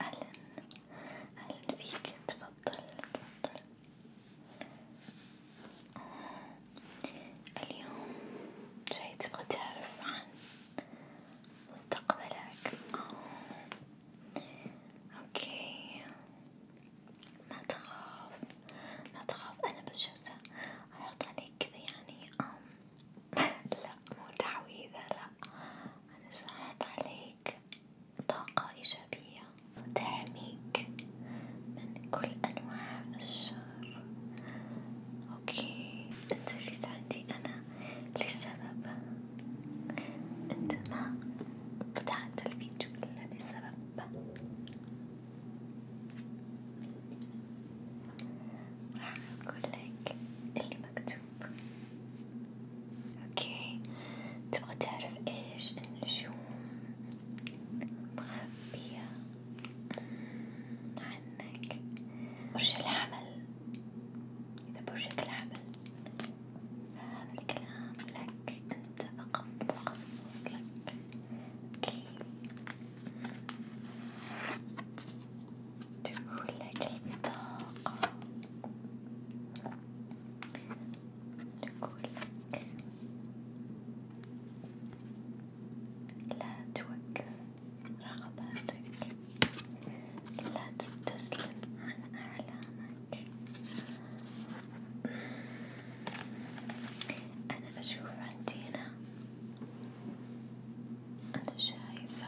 أهلا أهلا فيك تفضل تفضل اليوم جاي تبغى تعرف عن مستقبلك اوكي ما تخاف ما تخاف انا بس جالسة احط عليك كذا يعني لا مو تعويذة لا أنا شرحت عليك طاقة إيجابية تحميك من كل أنواع الشر أوكي أنت جيت عندي أنا لسبب أنت ما بدأت الفيديو إلا بسبب راح أقول لك اللي مكتوب اوكي تبغى تعرف ايش النجوم مخبية عنك برج الحمل اذا برجك الحمل فهذا الكلام لك انت فقط مخصص لك اوكي تقول لك البطاقة تقول لك لا توقف رغباتك لا تستسلم عن أعلامك أنا أشوف عندنا أنا شايفة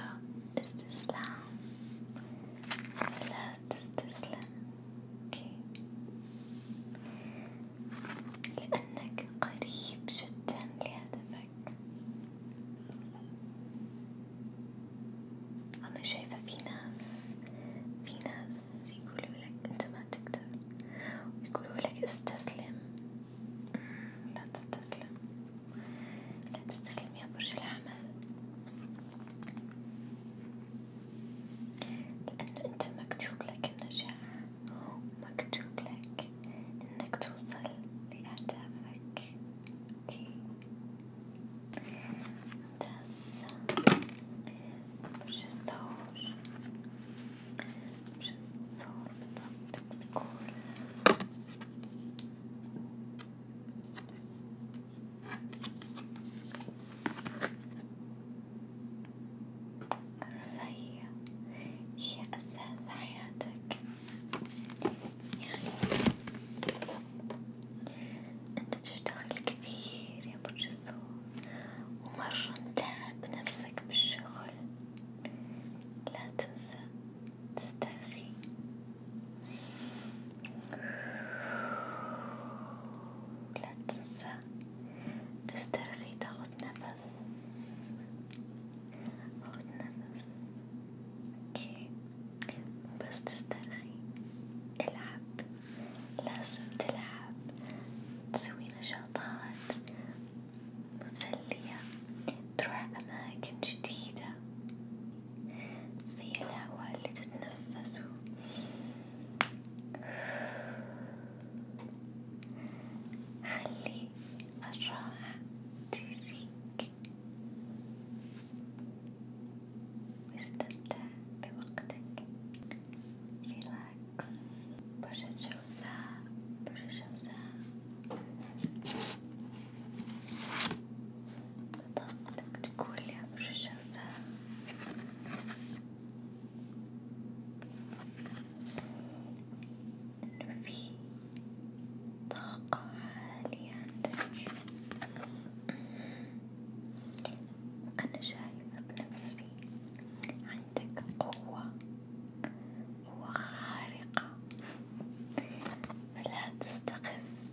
استسلام لا تستسلم أوكي لأنك قريب جدا لهدفك أنا شايفة في ناس في ناس يقولوا لك أنت ما تقدر ويقولوا لك استسلم لا تستسلم لا تستسلم يا برج الحمل لأنه أنت مكتوب لك النجاح ومكتوب لك إنك توصل لأهدافك أوكي ممتاز برج الثور مش هتصور بالضبط بتقول الرفاهية هي أساس حياتك يعني أنت تشتغل كثير يا برج الثور ومرة متعب نفسك بالشغل لا تنسى تسترخي لا تنسى تسترخي تاخد نفس خد نفس اوكي بس تسترخي العب لازم تلعب تسوي نشاطات مسلية تروح أماكن جديدة زي الهواء اللي تتنفسه خلي الراحة تجيك واستمتع بوقتك. بالعكس برشة جوزاء برشة جوزاء بطاقتك تقول يا برشة جوزاء إنه في طاقة عالية عندك أنا شايفة بنفسي عندك قوة قوة خارقة فلا تستخف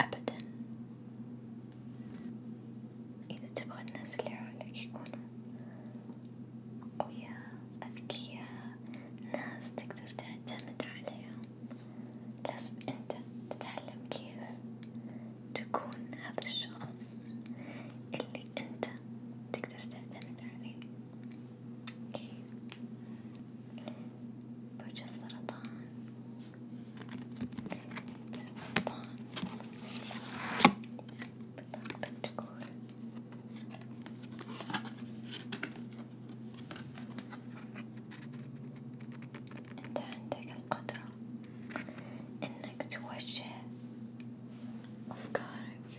أبدا إذا تبغى الناس اللي حولك يكونوا قوياء أذكياء ناس تقدر تعتمد عليهم لازم أنت تتعلم كيف تكون هذا الشخص اللي أنت تقدر تعتمد عليه، أوكي، برج السرطان، السرطان بطاقتك تقول أنت عندك القدرة إنك توجه أفكارك،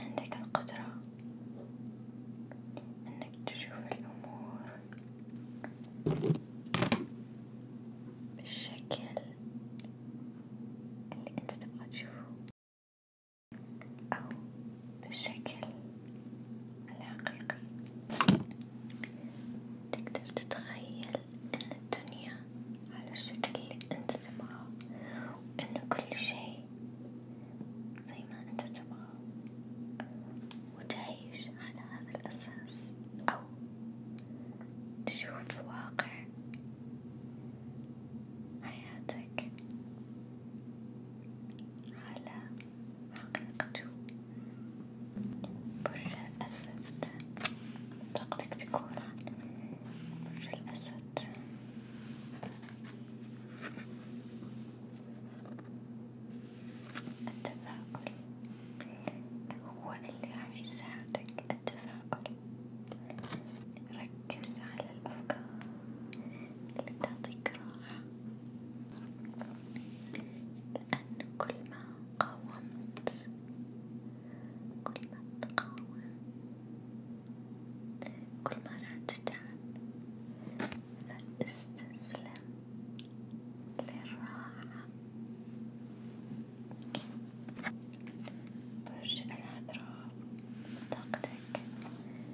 عندك القدرة إنك تشوف الأمور بالشكل اللي أنت تبغى تشوفه أو بالشكل الحقيقي تقدر تتخيل ان الدنيا على الشكل اللي انت تبغاه وان كل شيء زي ما انت تبغاه وتعيش على هذا الاساس او تشوف واقع حياتك على حقيقته برج الأسد طاقتك تكون برج الأسد التفاؤل هو اللي راح يساعدك التفاؤل ركز على الأفكار اللي بتعطيك راحة لأن كل ما قاومت كل ما تقاوم كل ما راح تتعب فاستسلم للراحة برج العذراء طاقتك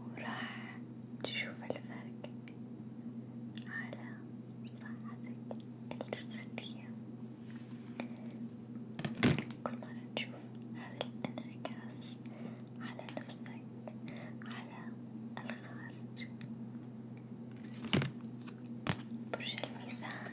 وراح تشوف الفرق على صحتك الجسدية كل مرة تشوف هذا الانعكاس على نفسك على الخارج برج الميزان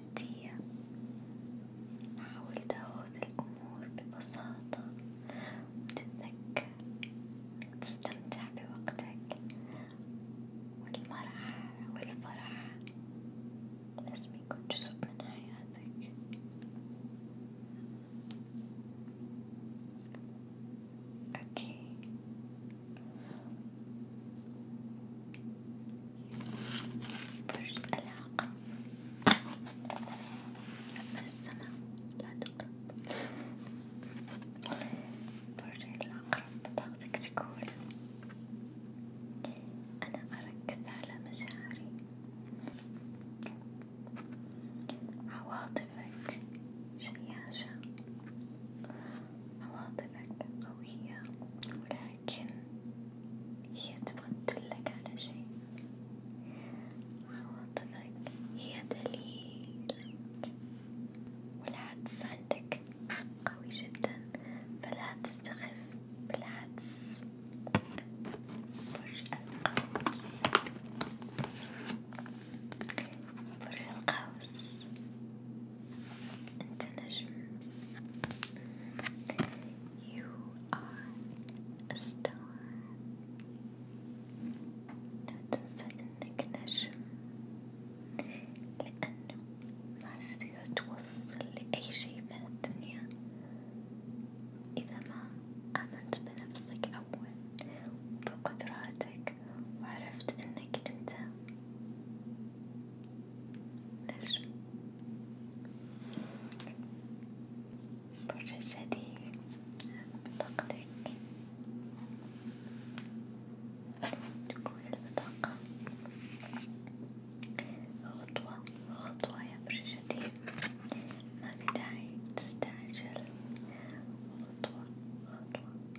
جدية حاول تاخذ الأمور ببساطة وتتذكر تستمتع بوقتك والمرح والفرح لازم يكون جزء من حياتك. أوكي فرشة العاقة أما السماء لا تقرب فرشة العقرب طاقتك تكون أنا أركز على مشاعري عواطفك شياشة عواطفك قوية ولا لكن هي تبغى تدلك على شيء عواطفك هي دليلك والعدس عندك قوي جدا فلا تستخف بالعدس برج القوس برج القوس أنت نجم You are a star لا تنسى إنك نجم لأنه ما راح تقدر توصل لأي شي في هالدنيا إذا ما آمنت بنفسك أول وبقدراتك وعرفت إنك أنت نجم برج الجدي بطاقتك تكون البطاقة خطوة خطوة يا برج الجدي ما في داعي تستعجل خطوة خطوة